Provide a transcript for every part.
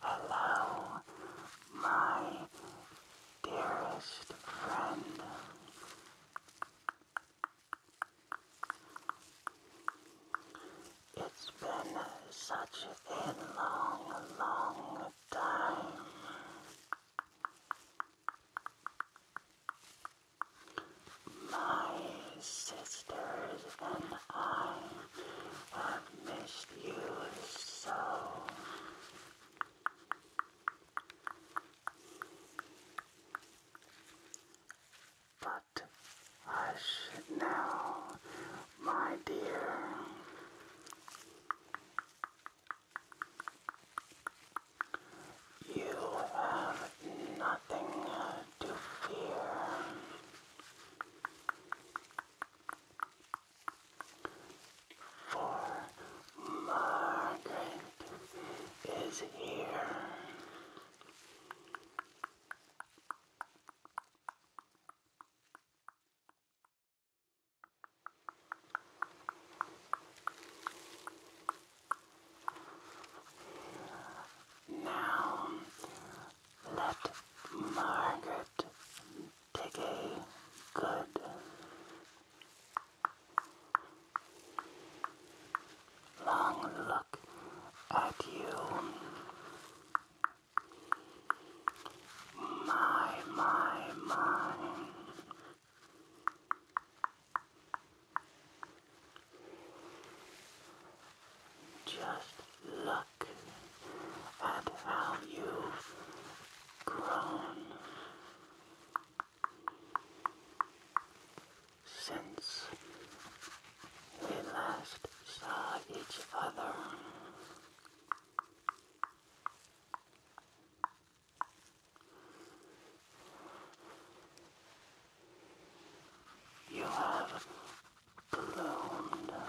Hello, my dearest friend. It's been such a long, long time. My sisters and I have missed you so. But hush now, my dear. You have nothing to fear. For Margaret is here. Now let Margaret take a good long look at you. My, my, my. Just look at how you've grown since we last saw each other. You have glowed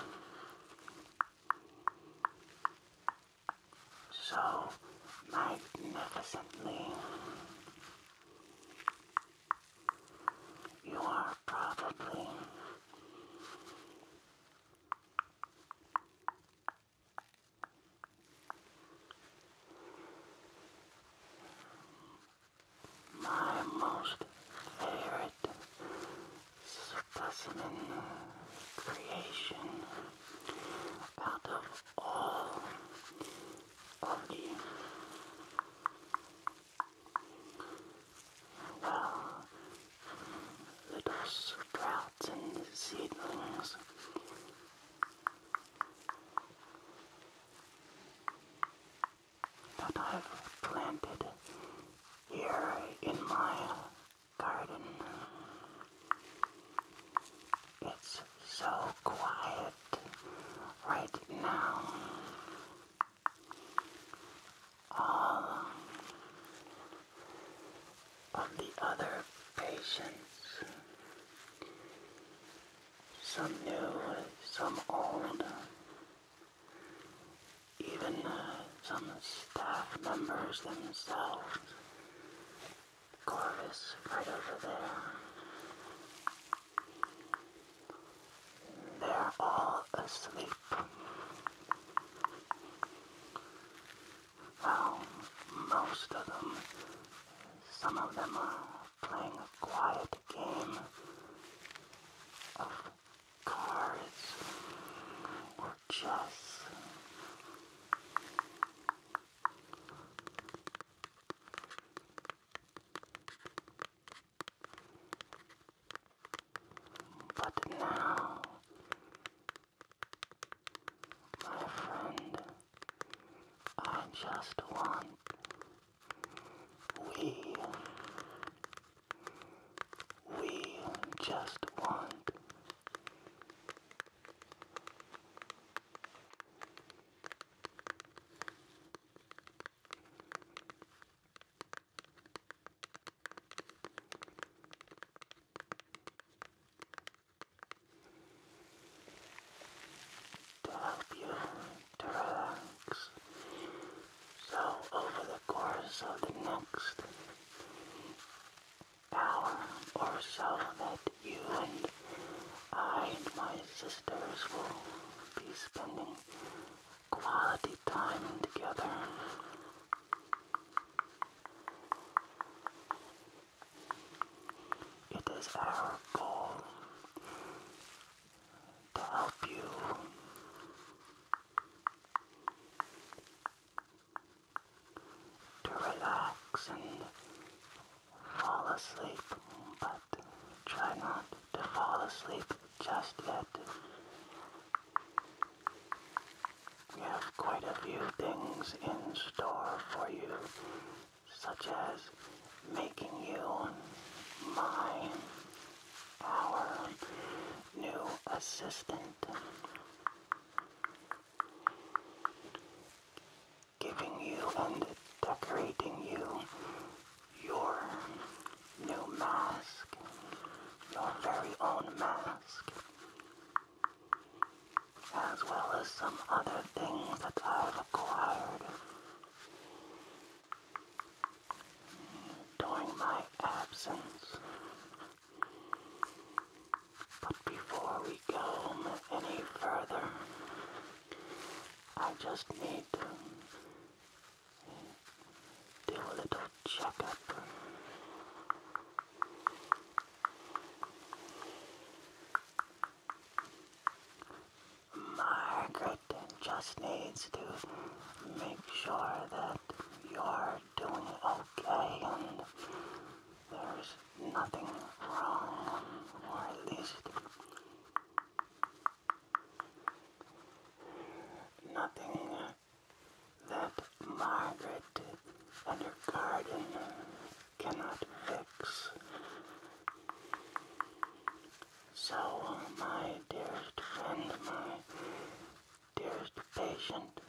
so magnificently. You are probably my most favorite specimen creation out of all of the little sprouts and seedlings that I've planted here in my garden. It's so quiet right now. All of the other patients some new, some old, even uh, some staff members themselves. Corvus right over there. They're all asleep. Well, most of them. Some of them are playing a quiet game of cards or chess. But now, my friend, are just one. We, we just want to help you to relax. So, over the course of the next hour or so, that you and I and my sisters will be spending quality time together. It is our goal to help you to relax and fall asleep, but try not to fall asleep just yet. We have quite a few things in store for you such as making you my, our new assistant, giving you and decorating you your new mask, your very own mask as well as some other things that I've acquired during my absence. But before we go any further, I just need to do a little checkup. Margaret just needs to make sure that you're doing okay and there's nothing wrong, with this. nothing that Margaret and her garden cannot fix. So, my dearest friend, my dearest patient,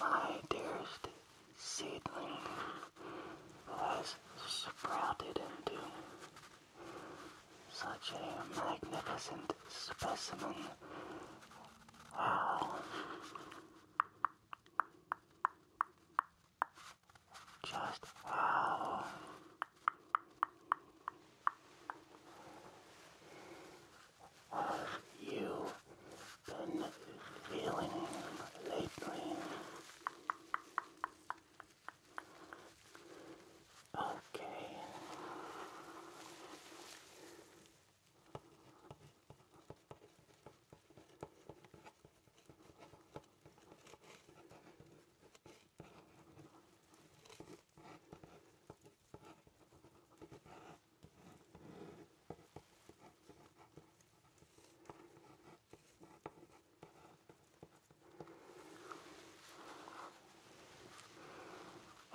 my dearest seedling has sprouted into such a magnificent specimen. Wow. Just wow. Oh. Have you been feeling lately? Okay.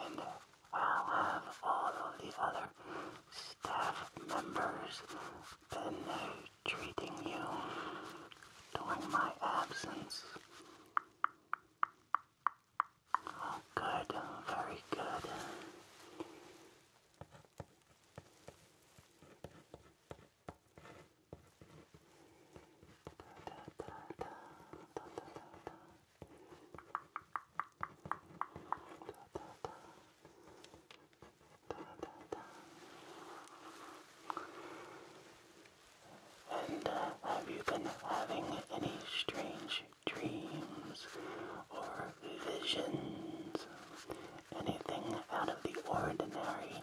And I'll have all of the other staff members been treating you during my absence. Oh, good, very good. And uh, have you been having any strange dreams or visions? Anything out of the ordinary,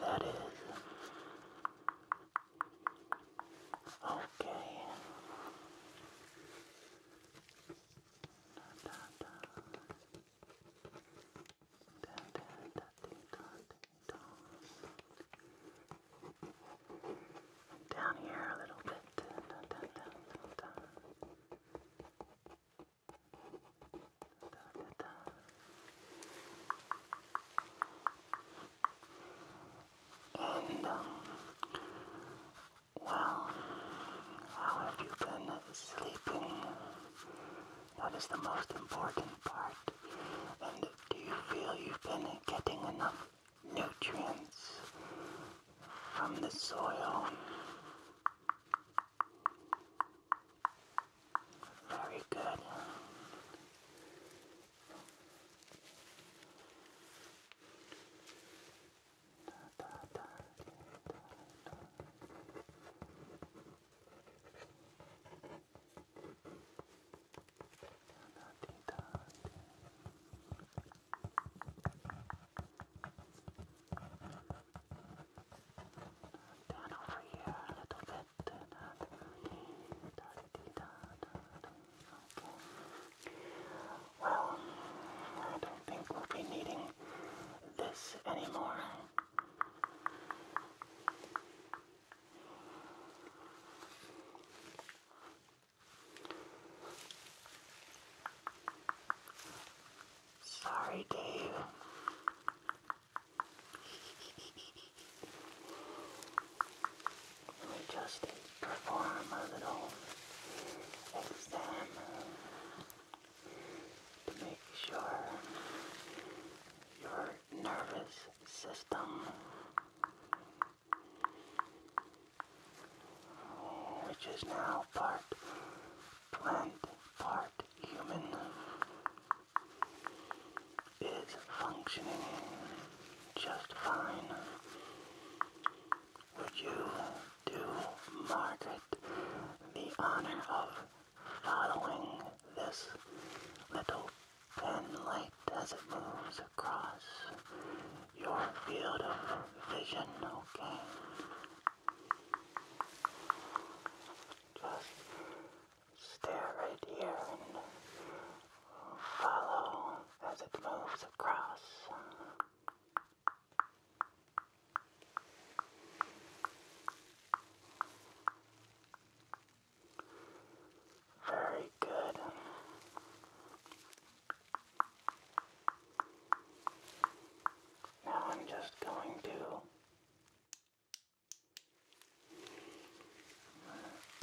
that is. Okay. Down here a little bit. Dun, dun, dun, dun, dun. Da, da, da. And, um, well, how have you been sleeping is the most important part? And do you feel you've been getting enough nutrients from the soil? Very good. Down over here a little bit. Okay. Well, I don't think we'll be needing this anymore. Sorry, Dave. Let me just perform a little exam to make sure your nervous system which is now part plant, part human is functioning just fine. Would you do Margaret? the honor of following this little pen light as it moves across your field of vision, okay? Just stare right here and follow as it moves across. Very good. Now I'm just going to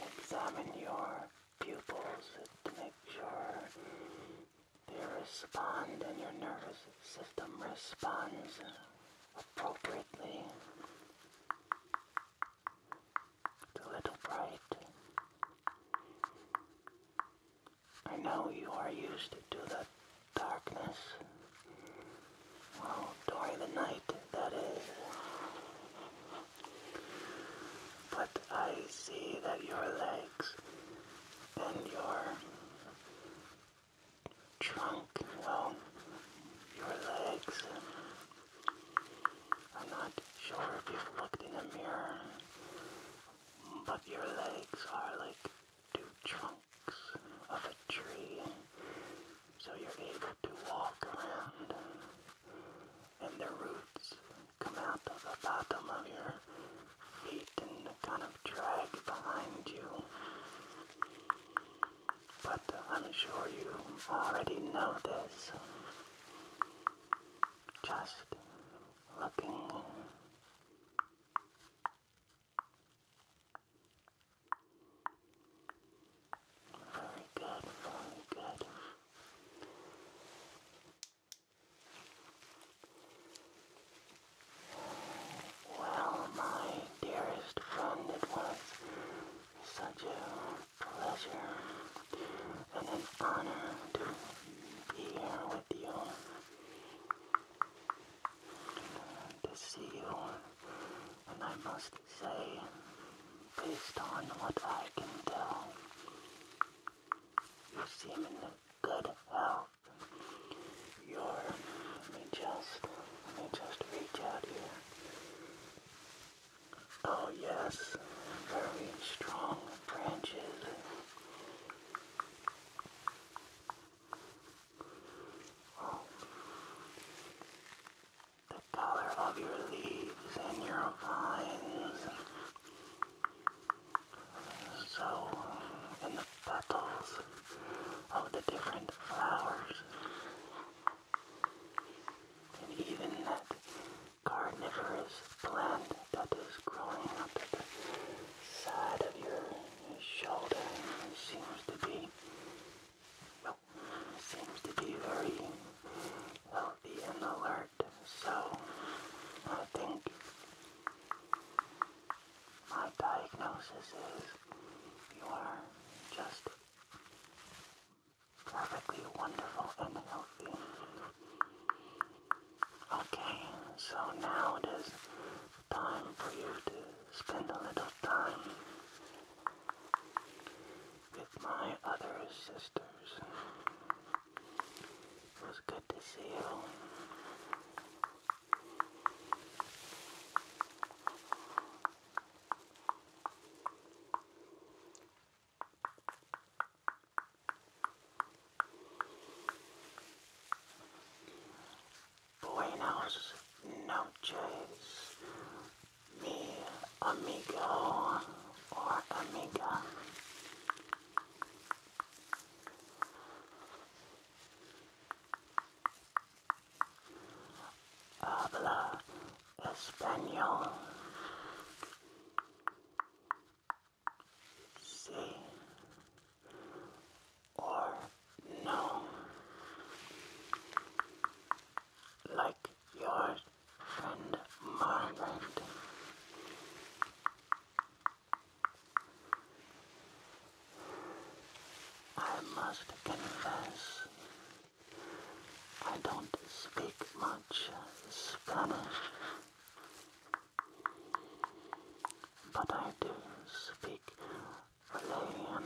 examine your pupils to make sure they respond and your nervous system responds appropriately to little bright. I know you are used to the darkness. Well, during the night, that is. But I see that your legs and your trunk and your legs. I'm not sure if you've looked in a mirror, but your legs are like two trunks of a tree, so you're able to walk around, and the roots come out of the bottom of your you can kind of drag behind you. But I'm sure you already know this. Just looking. Very good, very good. Well, my dearest friend, it was such a pleasure and an honor to be here with you. To see you, and I must say, based on what I can tell, you seem in good health your, let me just, let me just reach out here. Oh yes, very strong branches. Oh. The color of your leaves and your vines. So, petals of the different flowers. And even that carnivorous plant that is growing up at the side of your shoulder seems to be, well, seems to be very healthy and alert. So I think my diagnosis is you are just perfectly wonderful and healthy. Okay, so now it is time for you to spend a little time with my other sisters. It was good to see you. No noches, mi amigo or amiga. Habla español. Sí or no. Like your friend Margaret. I must confess, I don't speak much Spanish, but I do speak Malayan.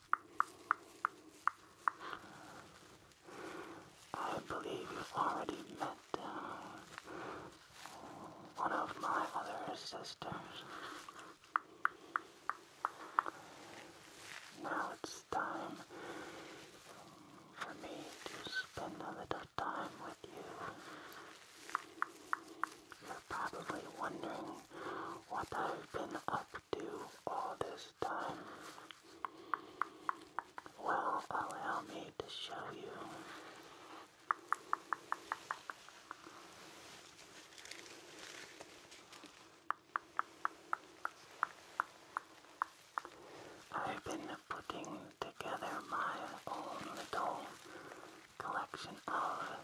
I believe you've already met uh, one of my other sisters. Now it's time for me to spend a little time with you. You're probably wondering what I've been up to all this time. Well, allow me to show you. I've been putting together my own little collection of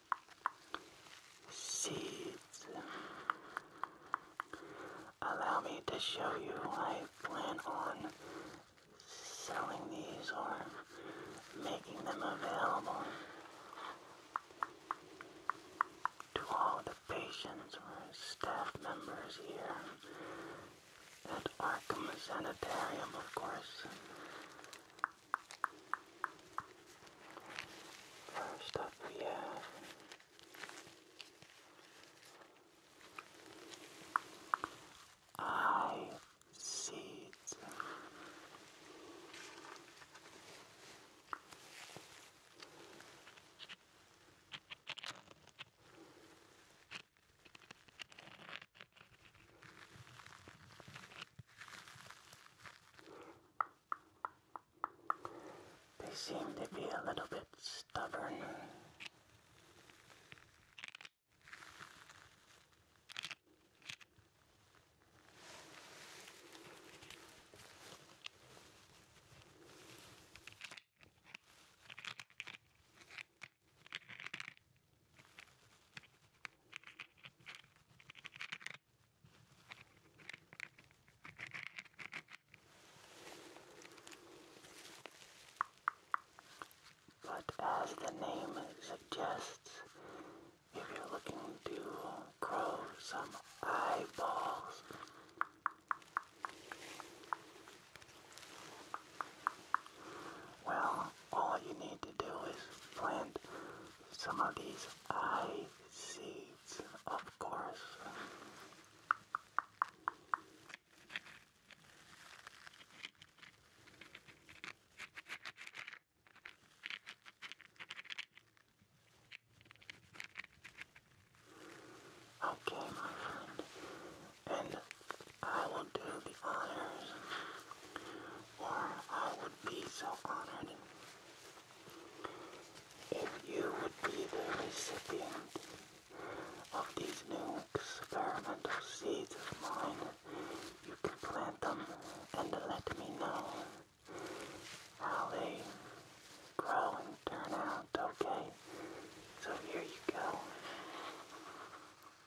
seeds. Allow me to show you. I plan on selling these or making them available to all the patients or staff members here at Arkham Sanitarium, of course. First up, we have I seeds. They seem to be a little bit stubborn. But as the name suggests, if you're looking to grow some eyeballs, well, all you need to do is plant some of these eye seeds, of course. Okay, my friend, and I will do the honors I would be so honored if you would be the recipient of these new experimental seeds of mine. You can plant them and let me know how they grow and turn out, okay? So here you go.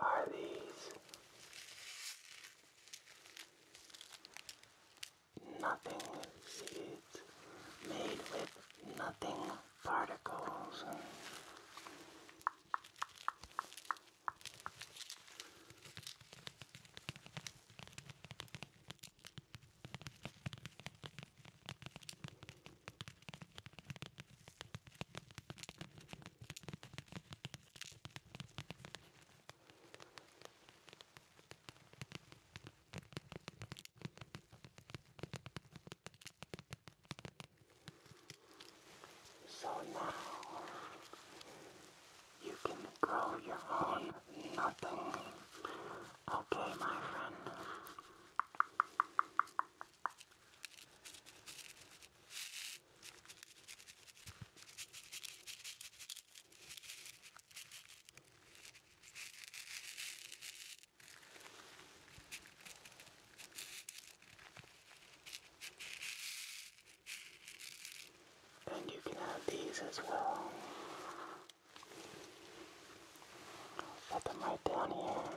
are these nothing seeds made with nothing particles. So now you can grow your own nothing. Okay, my friend. And you can have these as well. Put them right down here.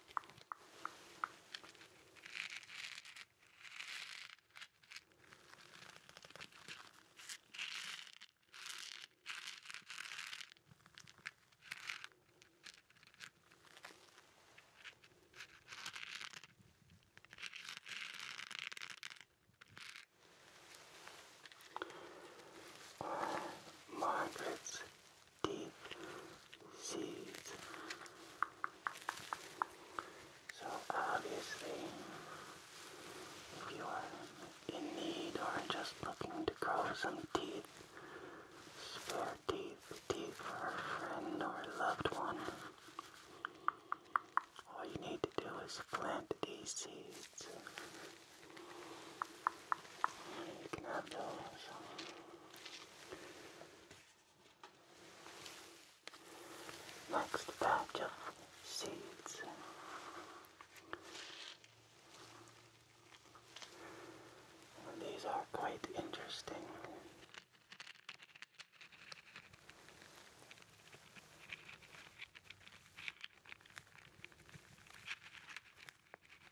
Margaret's deep seeds. So obviously, if you are in need or just looking to grow some teeth, spare teeth, teeth for a friend or a loved one, all you need to do is plant these seeds. You can have those. Next batch of seeds. these are quite interesting.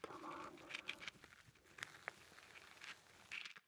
Come on.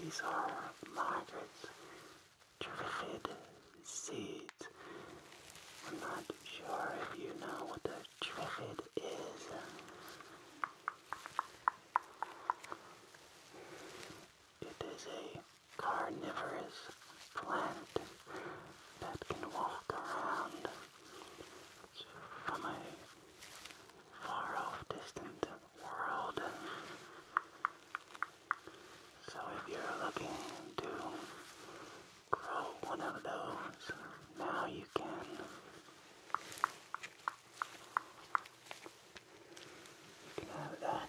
These are Margaret's Triffid seeds. I'm not sure if you know what the Triffid is. It is a carnivorous plant that can walk around from a far off distant world. So if you're looking to grow one of those, now you can. You can have that.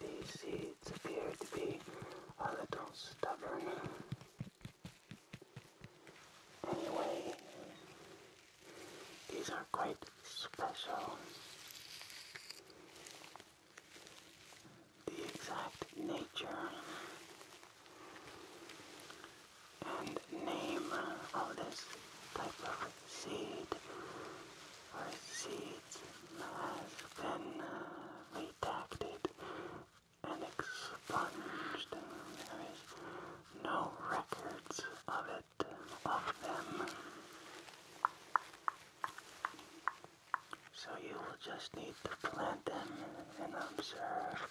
these seeds appear to be a little stubborn. Anyway, these are quite special. The exact nature and name of this type of seed or seeds has been uh, redacted and expunged. There is no records of it of them. So you will just need to plant them and observe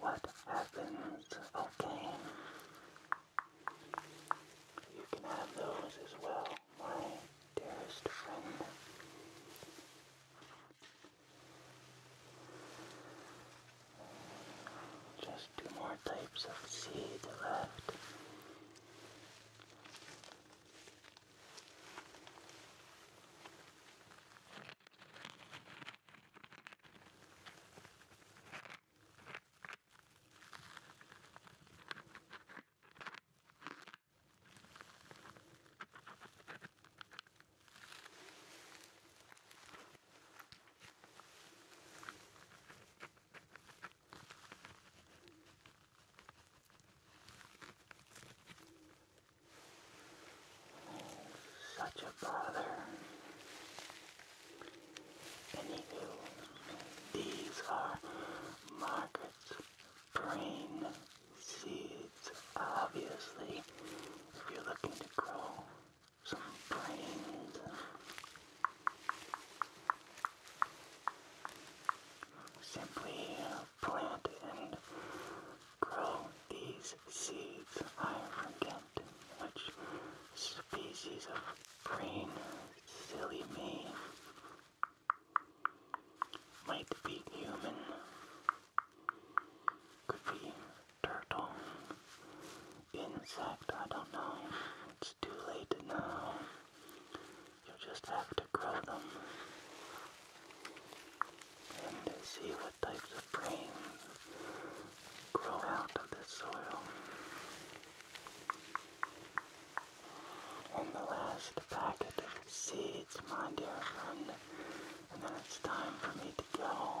what happens, okay? You can have those as well, my dearest friend. Just two more types of seed left. Such a bother. Anywho, these are Margaret's brain seeds. Obviously, if you're looking to grow some planes. Simply plant and grow these seeds. I forget which species of green silly me might be human, could be turtle, insect, I don't know. It's too late now. You'll just have to grow them and see what types of brains grow out of this soil. And the last packet of seeds, my dear friend. And then it's time for me to go.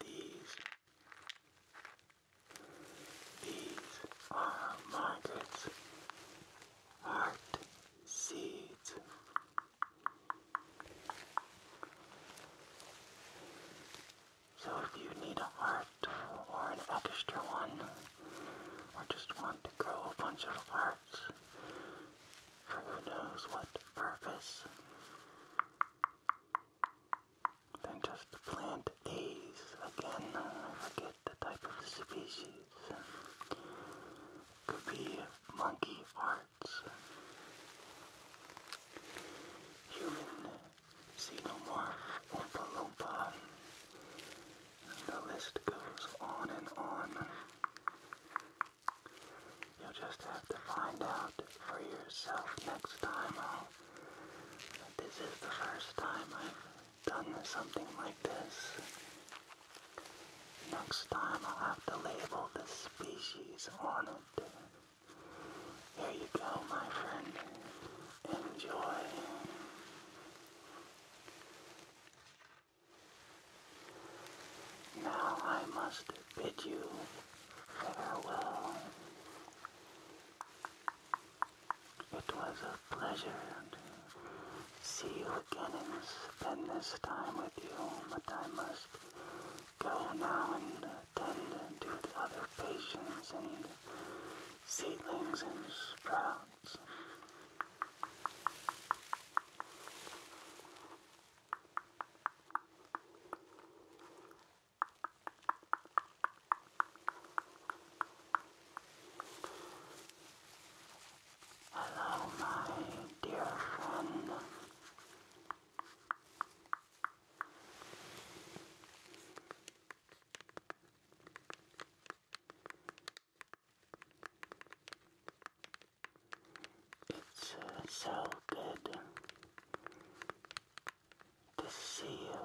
These these are Margaret's heart seeds. So if you need an art or an extra one, or just want to grow a bunch of hearts for who knows what purpose, then just plant these again. I forget the type of species. Could be monkey hearts, human See no more Oompa Loompa. The list goes on and on. You'll just have to find out for yourself next time. Oh. this is the first time I've done something like this. Next time I'll have to label the species on it. Here you go, my friend. Enjoy. Now I must bid you farewell. It was a pleasure to see you again and spend this time with you, but I must go now and attended to with other patients and seedlings and sprouts. Hello, my dear friend. It's uh, so good to see you.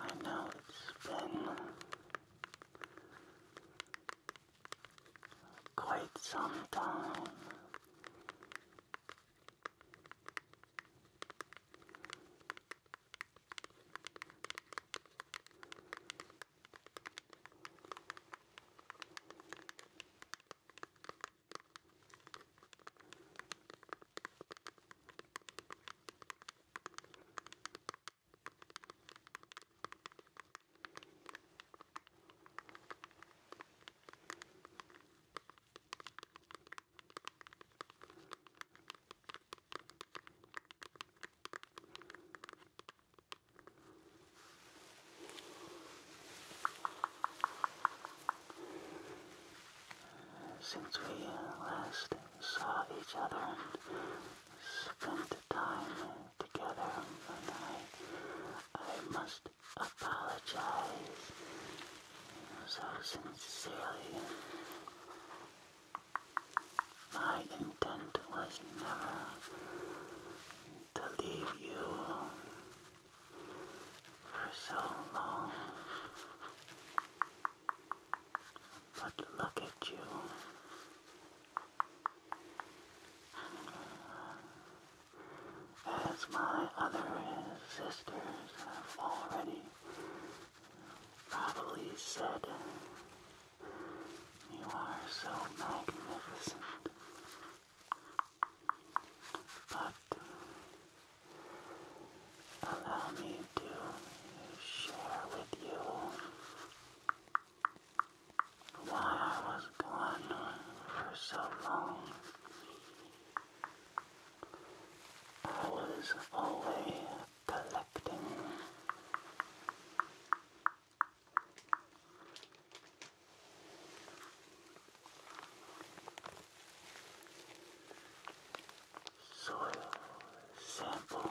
I know it's been quite some time. Since we last saw each other, from the time together, and I, I must apologize so sincerely. My intent was never to leave you for so long. But look at you. As my other sisters have already probably said, you are so magnificent. But allow me to share with you what I was gone for so long, I was always collecting. Soil sample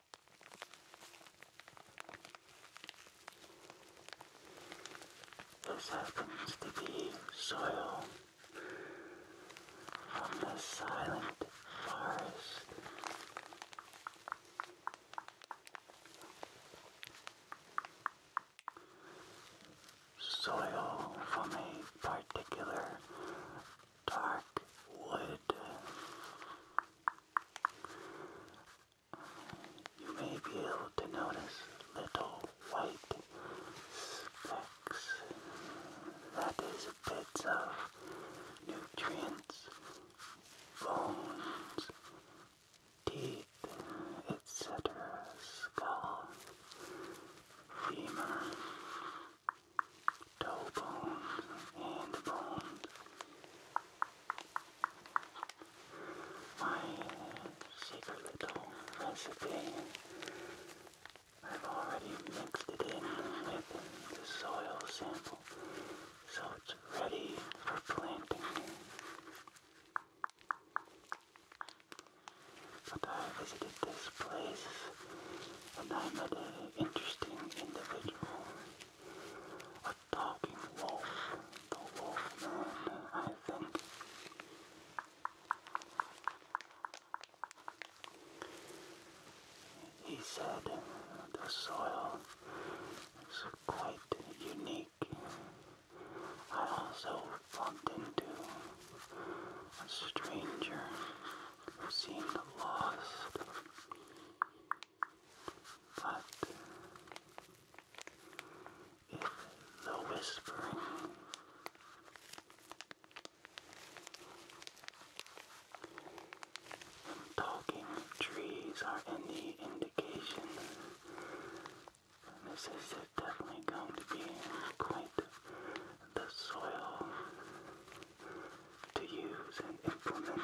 This happens to be soil from the silent forest. Soil from a particular dark wood. You may be able to notice little white specks. That is bits of nutrients, bones, teeth, etc. Skull, femur, toe bones, hand bones. My secret little recipe, I've already mixed it in with the soil sample, so it's ready for planting. But I visited this place and I met an interesting individual talking wolf, the wolf man, I think. He said the soil is quite unique. I also bumped into a stranger who seemed lost. But if the whispering talking trees are any indication, this is definitely going to be quite the soil to use and implement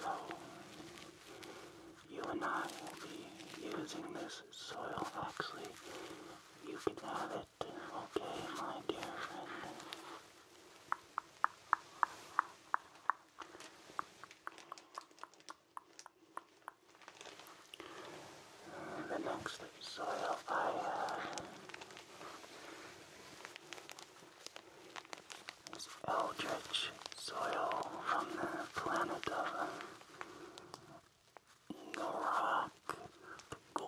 so, you and I will be using this soil oxy. You can have it, okay, my dear friend? The next soil I have there's eldritch soil from the planet of the rock,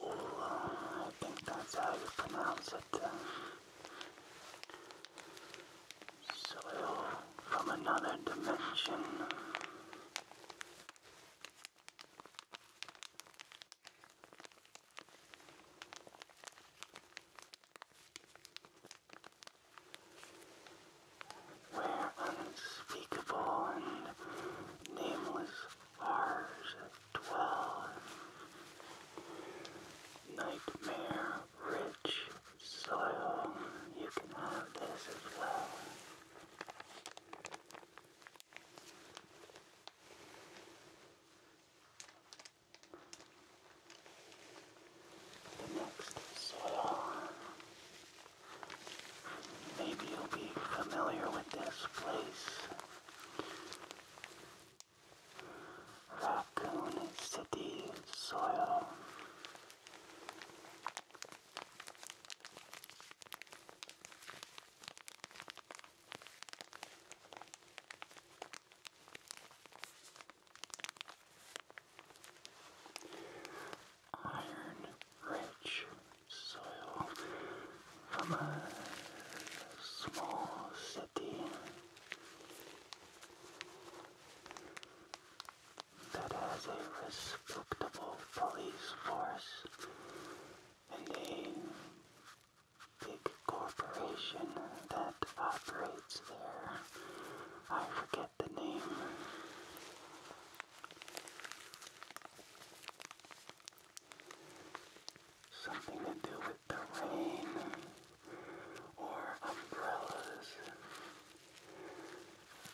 I think that's how you pronounce it. Soil from another dimension. Where unspeakable and nameless horrors dwell, nightmare rich soil, you can have this as well. The next sale. Maybe you'll be familiar with this place. Raccoon City Soil. Iron rich soil from a small city that has a respectable police force and a big corporation that operates there. I forget the name. Something to do with the rain or umbrellas.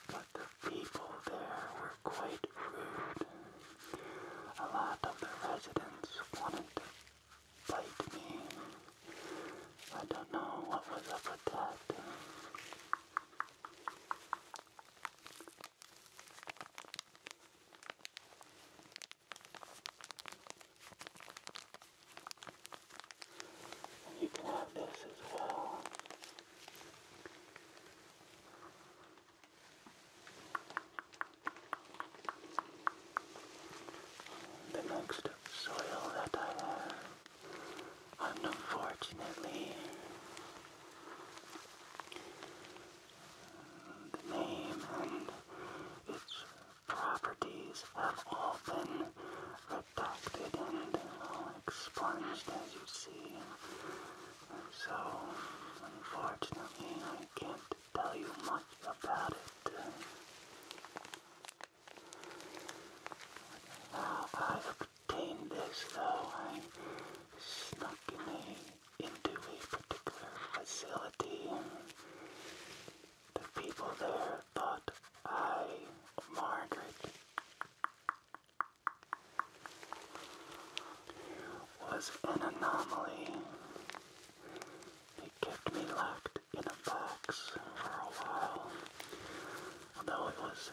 But the people there were quite rude. A lot of the residents wanted to bite me. I don't know what was up with that. you can have this as well. The next soil that I have, unfortunately, the name and its properties have all been redacted and expunged, as you see. So, unfortunately, I can't tell you much about it. How I obtained this, though, I snuck in into a particular facility, and the people there thought I, Margaret, was an anomaly. He kept me locked in a box for a while, although it was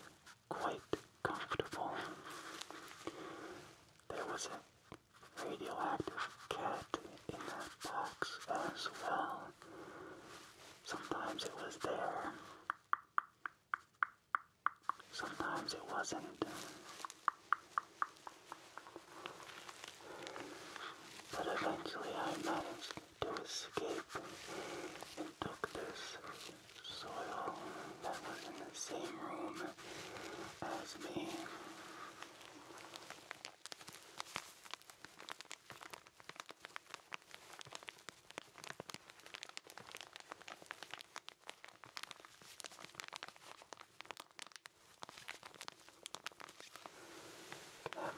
quite comfortable. There was a radioactive cat in that box as well. Sometimes it was there, sometimes it wasn't. But eventually I managed to escape and took this soil that was in the same room as me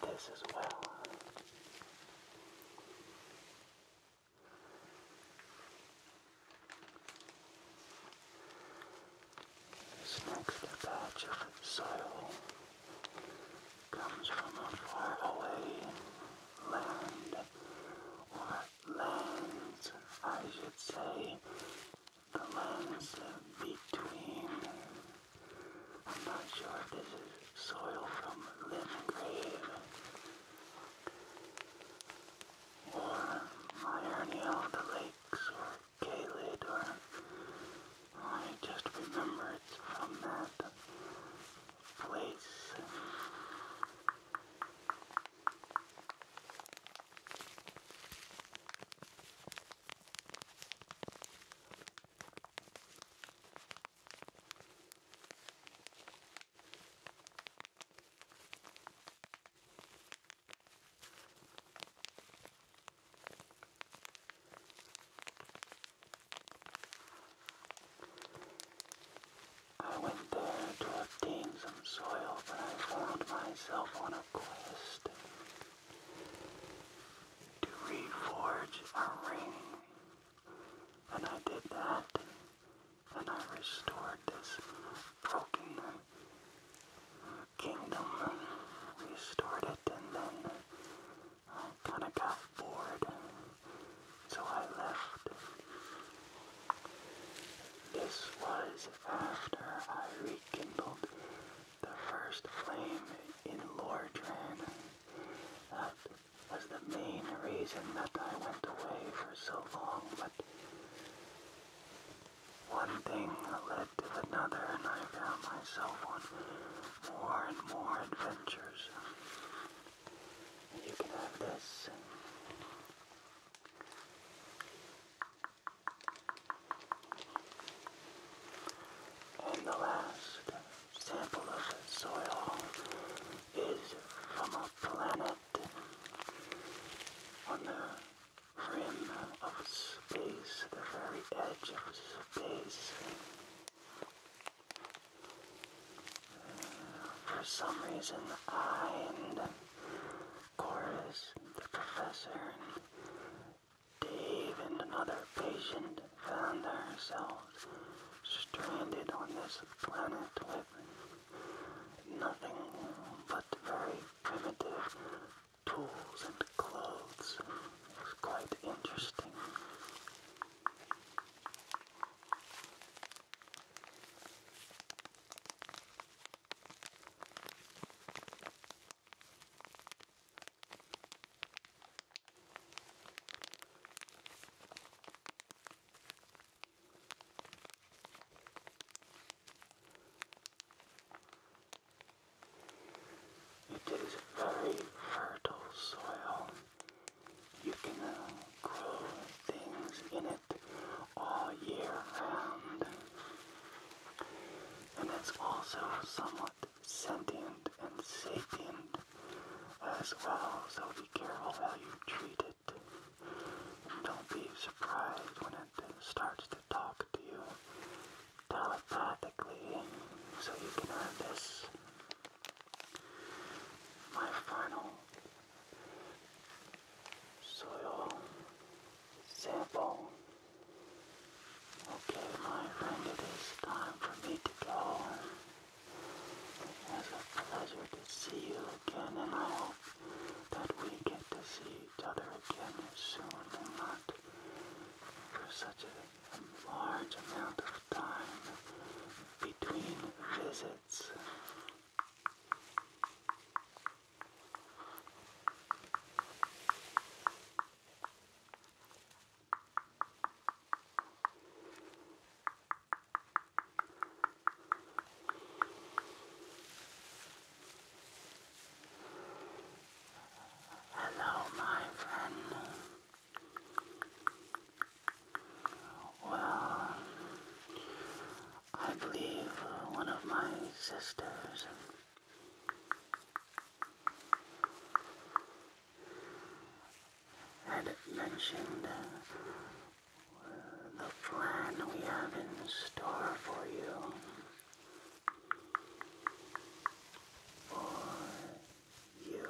this as well. This next batch of soil comes from a faraway land, or lands, I should say, the lungs between. I'm not sure if this is soil from Lingrave or Myrna of the Lakes or Kalid or I just remember it's from that place. I went there to obtain some soil, but I found myself on a quest to reforge our ring. And I did that, and I restored this broken kingdom. Restored it, and then I kind of got bored, so I left. This was after I re kindled the first flame in Lordran. That was the main reason that I went away for so long, but one thing led to another, and I found myself on more and more adventures. You can have this. And the last sample of soil is from a planet on the rim of space, the very edge of space. Uh, for some reason, I and Chorus, the professor, Dave and another patient found themselves stranded on this planet with nothing but very primitive tools and clothes. It was quite interesting. It is very fertile soil. You can uh, grow things in it all year round and it's also somewhat sentient and sapient as well, so be careful how you treat it. don't be surprised when it starts to talk to you telepathically, so you can have this. My final soil sample. Okay, my friend, it is time for me to go. It was a pleasure to see you again, and I hope that we get to see each other again soon and not for such a large amount of time between visits. Hello, my friend. Well, I believe one of my sisters had mentioned uh, the plan we have in store for you for you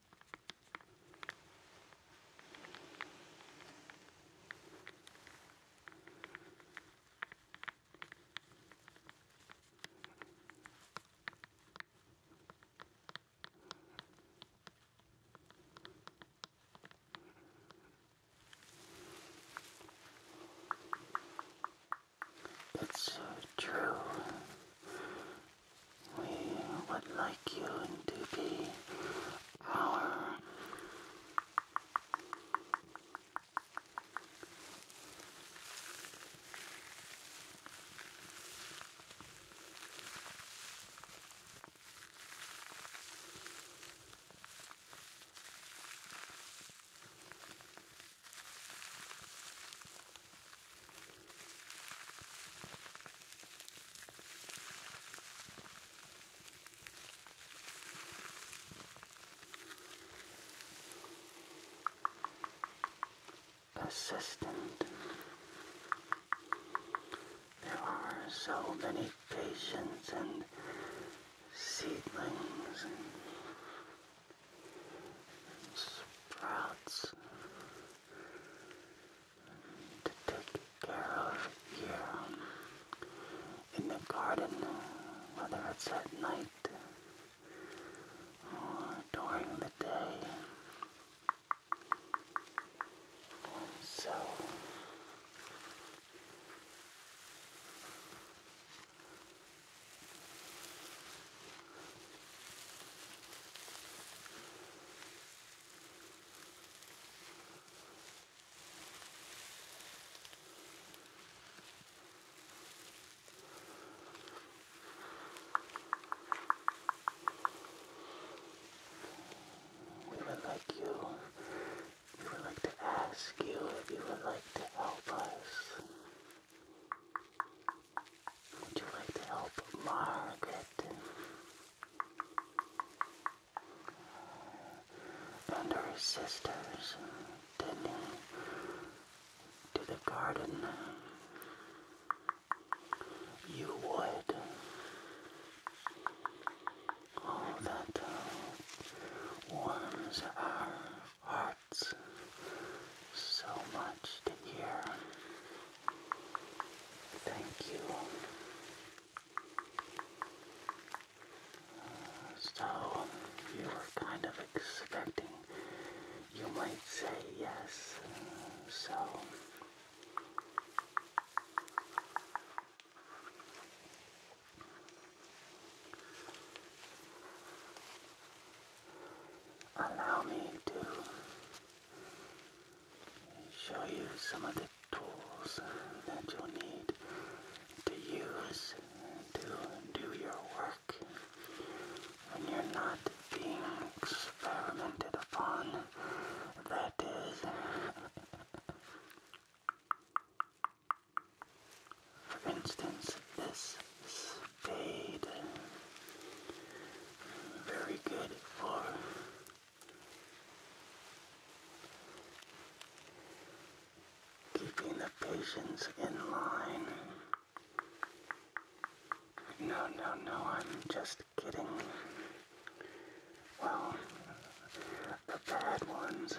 It's uh, true we would like you to be our Assistant. There are so many patients and seedlings and sprouts to take care of here in the garden, whether it's at night or during the day. So, we would like you, we would like to ask you if you would like to help us. Would you like to help Margaret? and her sisters, Denny, to the garden. You would. All that warms our hearts so much to hear. Thank you. Uh, so, you were kind of expecting, you might say yes. so, allow me to show you some of the tools that you'll need to use to do your work when you're not being experimented upon. That is. For instance, this spade. Very good for Keeping the patients in line. No, no, no, I'm just kidding. Well, the ones.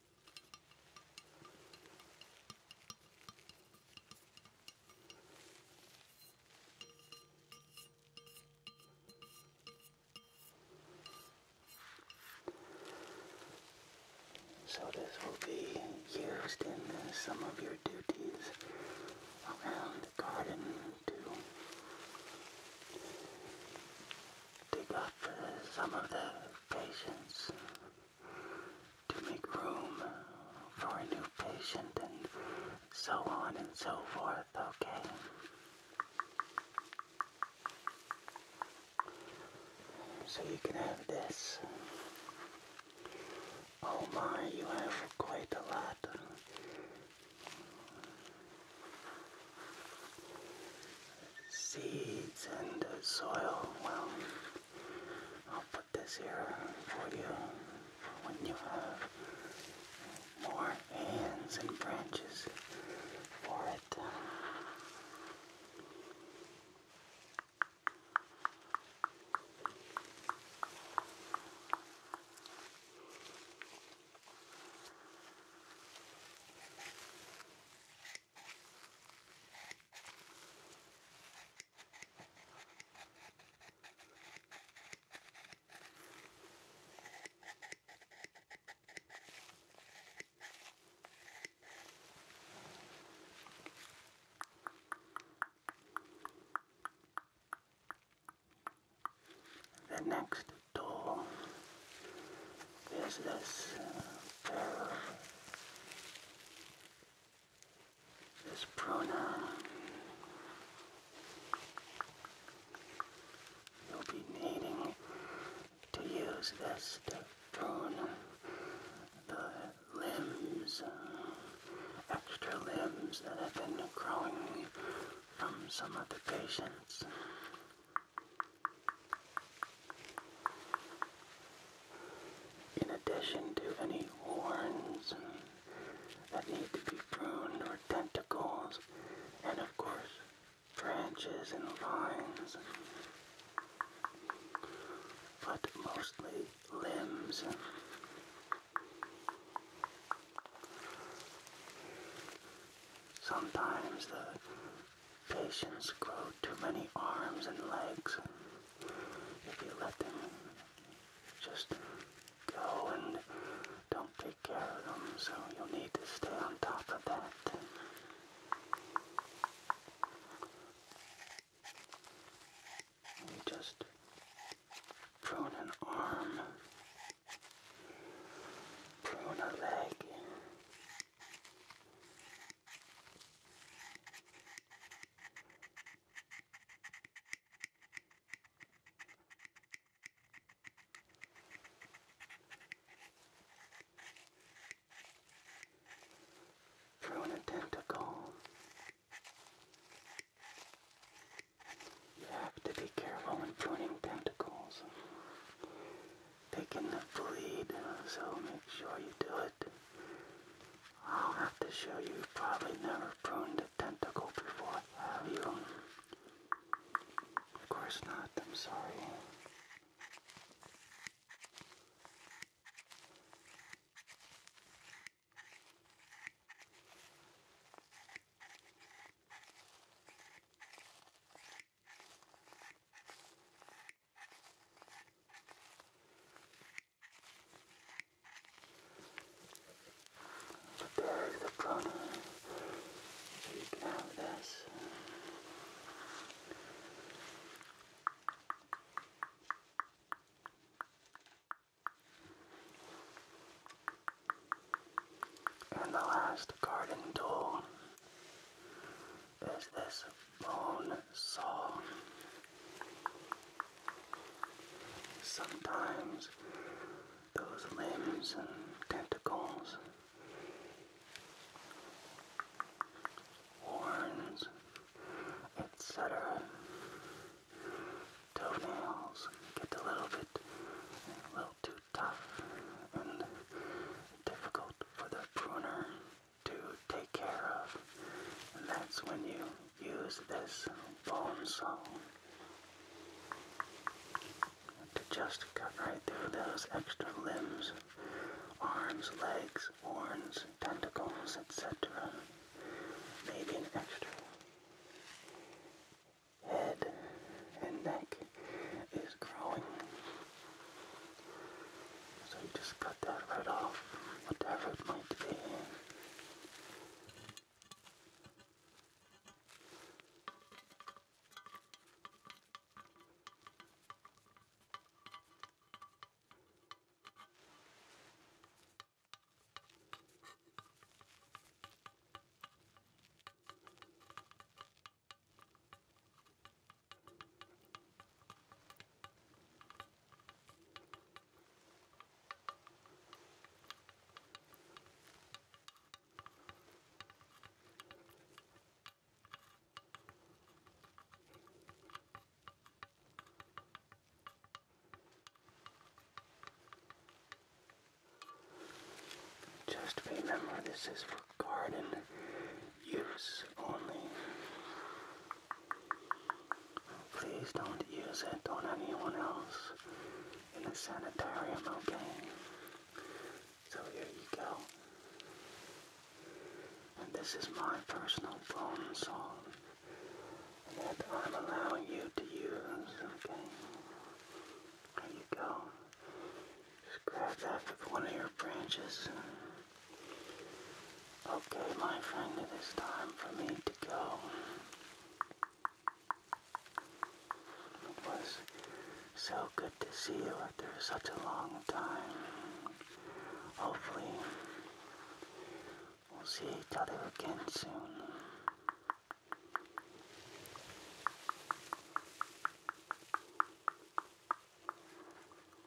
So this will be used in some of your duties around the garden to dig up some of the patients to make room for a new patient and so on and so forth, okay? So you can have this. Oh my, you have quite a lot. Seeds and soil, well... I'll put this here for you for when you have more hands and branches for it. The next tool is this pair uh, of this pronoun you'll be needing to use this to prune the limbs, extra limbs that have been growing from some of the patients. In addition to any horns that need to be pruned or tentacles, and of course, branches and vines, but mostly limbs. Sometimes the patients grow too many arms and legs if you let them just go and don't take care of them, so you'll need to stay on top of that. You just prune an arm, prune a leg, Prune a tentacle. You have to be careful when pruning tentacles. They can bleed, so make sure you do I'll have to show you. probably never pruned a tentacle before, have you? Of course not, I'm sorry. Prepare the prana. You have this. And the last garden tool is this bone saw. Sometimes those limbs and tentacles, horns, etc., toenails get a little bit, a little too tough and difficult for the pruner to take care of. And that's when you use this bone saw to just cut right through those extra limbs, arms, legs, horns, tentacles, etc. Maybe an extra head and neck is growing. So you just cut that right off, whatever it might be. Just remember this is for garden use only. Please don't use it on anyone else in the sanitarium, okay? So here you go. And this is my personal bone saw that I'm allowing you to use, okay? There you go. Just grab that with one of your branches. Okay, my friend, it is time for me to go. It was so good to see you after such a long time. Hopefully, we'll see each other again soon.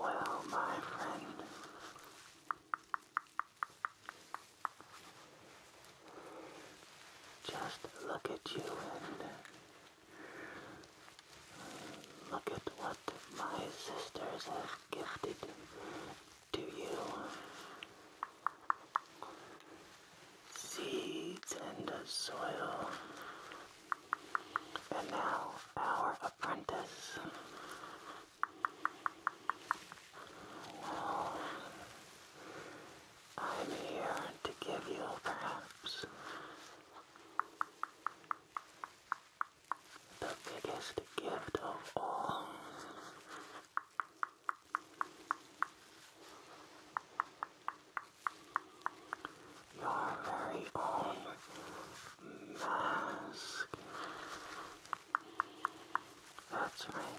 Well, my friend, just look at you and Look at what my sisters have gifted to you. Seeds and soil. And now our apprentice. I'm here to give you perhaps the biggest gift of all. Your very own mask. That's right.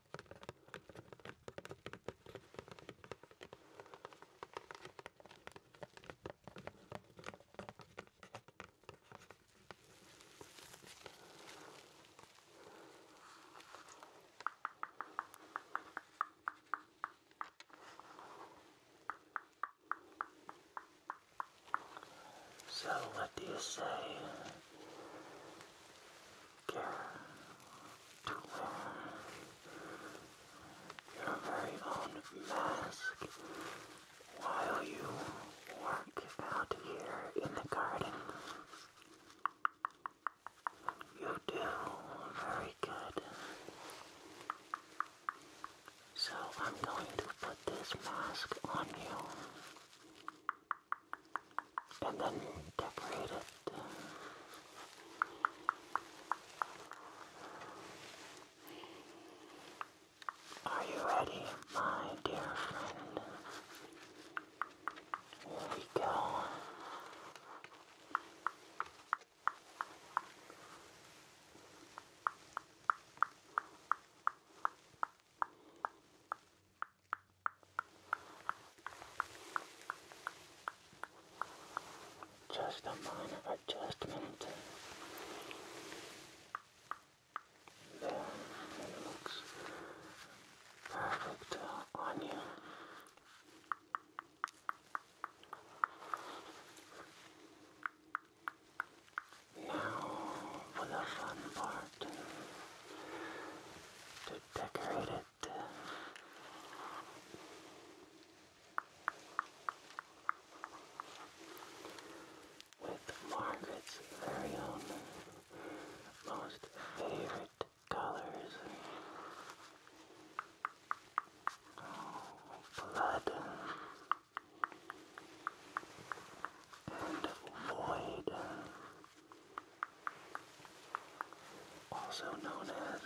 So, what do you say? dare to wear your very own mask while you work out here in the garden. You do very good. So I'm going to put this mask on you and then decorate it. Are you ready, my dear friend? Here we go. Just a minor adjustment. There, looks perfect uh, on you. Now for the fun part to decorate it. With Margaret's very own most favorite colors. blood and void also known as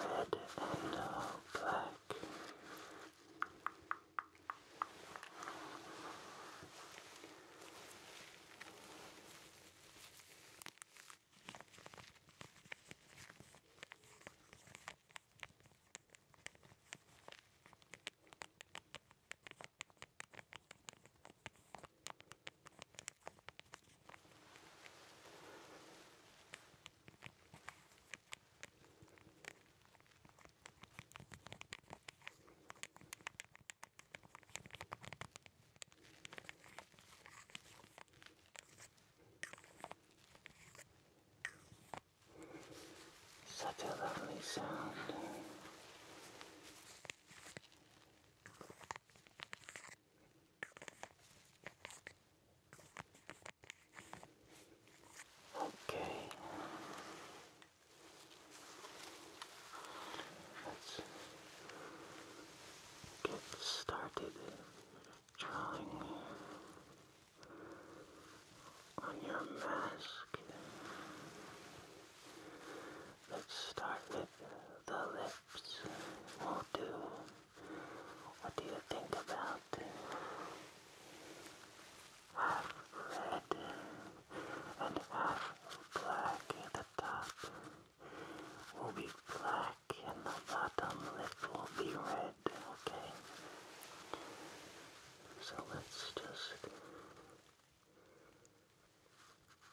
red and uh, black. Such a lovely sound. Okay. Let's get started drawing on your mask. Let's start with the lips. We'll do. What do you think about? Half red and half black at the top will be black and the bottom lip will be red, okay? So let's just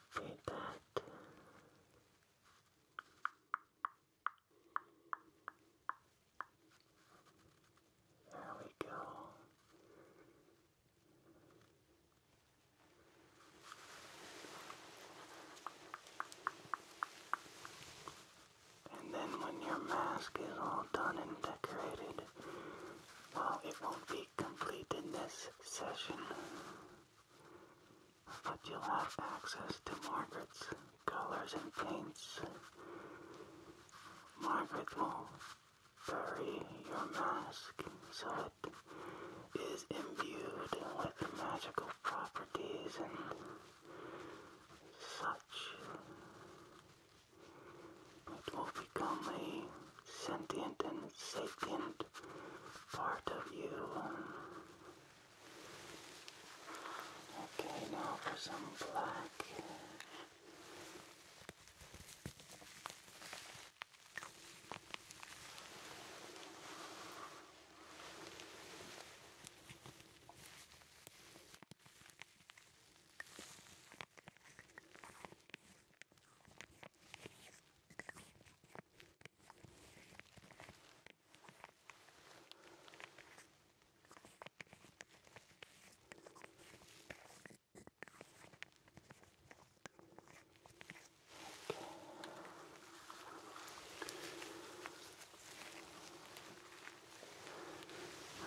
Feed that. There we go. And then when your mask is all done and decorated, well, it won't be be this session, but you'll have access to Margaret's colors and paints. Margaret will bury your mask so it is imbued with magical properties and such it will become a sentient and sapient part of you. Okay, now for some black.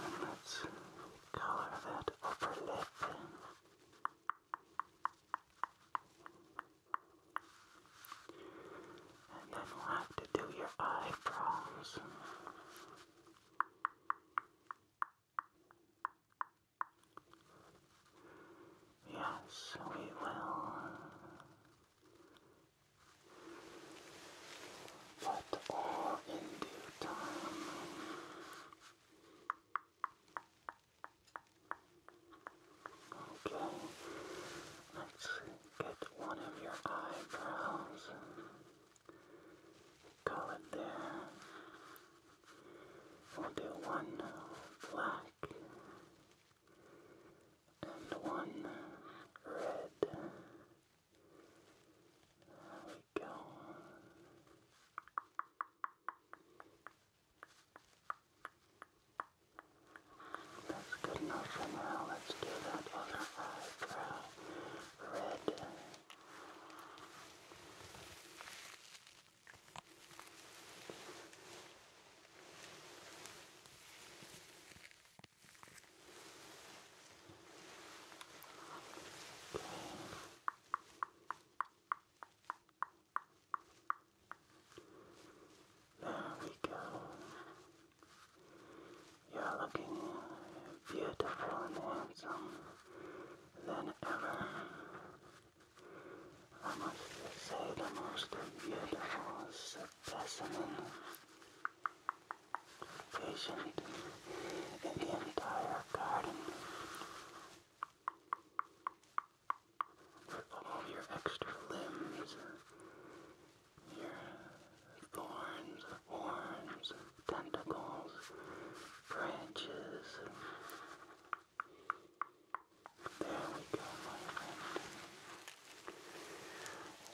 And let's color that upper lip and then we'll have to do your eyebrows. Yes, we will. But all in due time. Okay, let's get one of your eyebrows. Call it there. We'll do one black and one red. There we go. That's good enough for now. Let's do that other eyebrow red. Okay. There we go. You're looking beautiful and handsome than ever. I must say the most beautiful specimen patient in the entire garden all your extra limbs, your thorns, horns, tentacles, branches. There we go,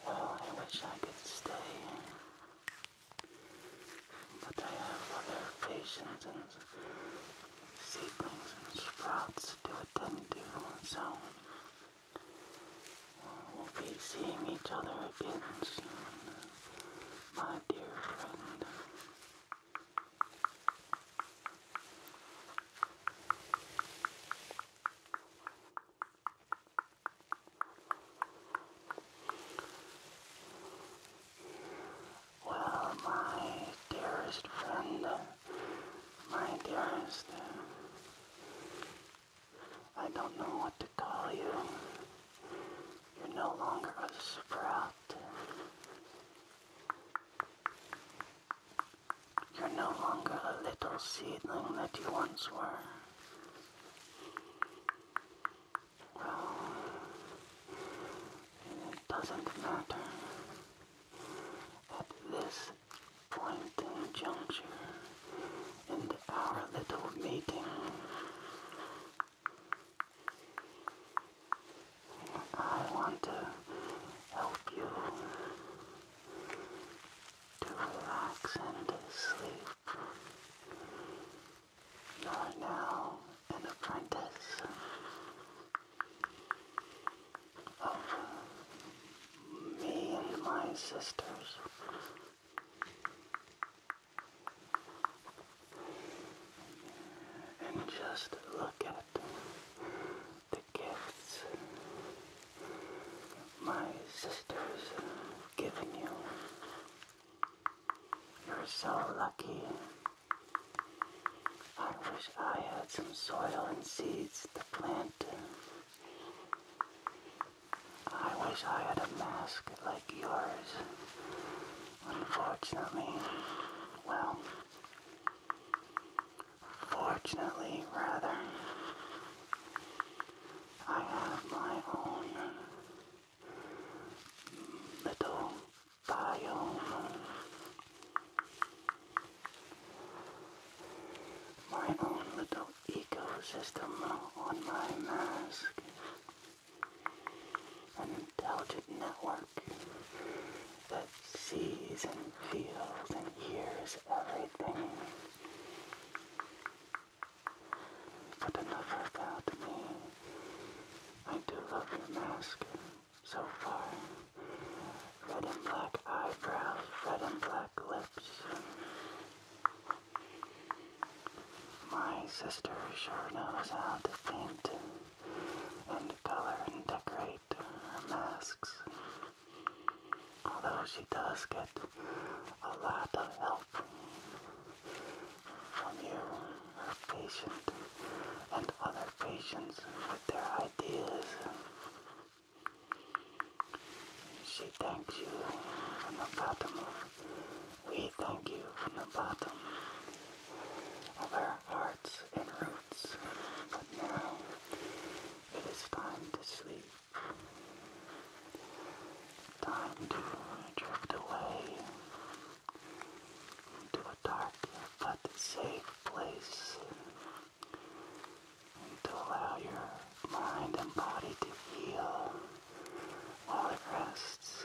Well, I wish I could stay, but I have other patients and seedlings and sprouts to attend to so we'll be seeing each other again soon, my dear friend. Well, my dearest friend, my dearest, I don't know what to call you. You're no longer a sprout. You're no longer a little seedling that you once were. It doesn't matter. At this point in juncture, in our little meeting, I want to help you to relax and to sleep. You now an apprentice of me and my sisters. And just look at the gifts my sisters have given you. You're so lucky I wish I had some soil and seeds to plant. I wish I had a mask like yours. Unfortunately, well, fortunately rather, I have my own little biome. My own little ecosystem on my mask. An intelligent network that sees and feels and hears everything. But enough about me. I do love your mask so far. Red and black eyebrows, red and black lips. My sister sure knows how to paint and color and decorate her masks. Although she does get a lot of help from you, her patient and other patients with their ideas. She thanks you from the bottom we thank you from the bottom of our hearts and roots. But now it is time to sleep. Time to drift away into a dark but safe place to allow your mind and body to heal while it rests.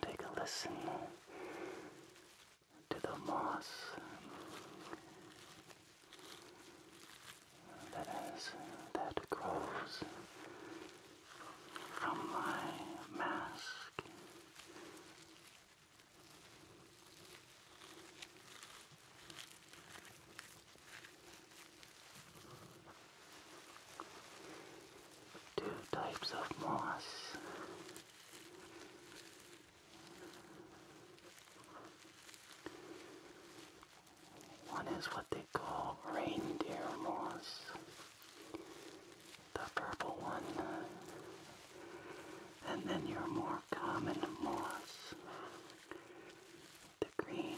Take a listen to the moss that grows from my mask. Two types of moss. One is what they call reindeer moss. The purple one. And then your more common moss. The green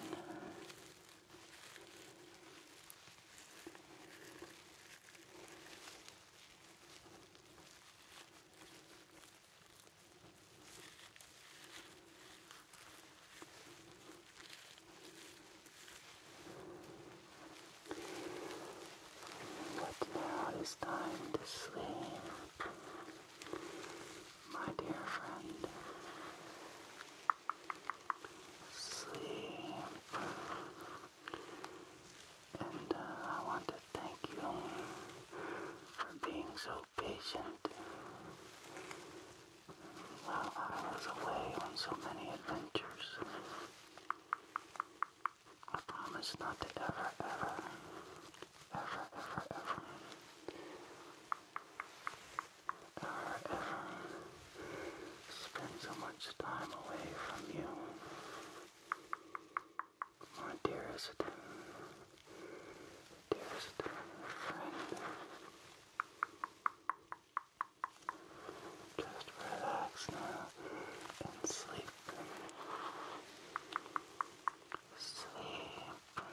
but now it is time to sleep, my dear friend sleep. And uh, I want to thank you for being so patient while I was away on so many adventures. I promise not to ever, ever, ever, ever, ever ever, ever spend so much time away from you. My dearest, dearest friend. Just relax now and sleep. Sleep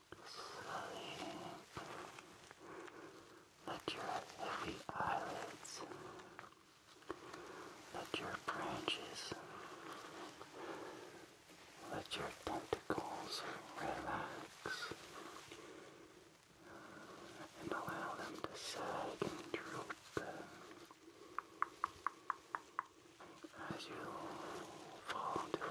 slowly let your heavy eyelids, let your branches, let your tentacles relax and allow them to sag and droop as you fall into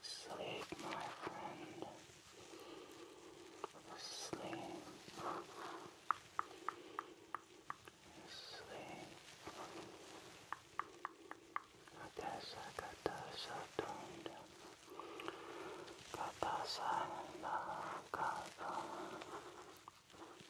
Sleep, my friend. Sleep. Sleep. Katasa, katasa, don't. Katasa, la, katasa.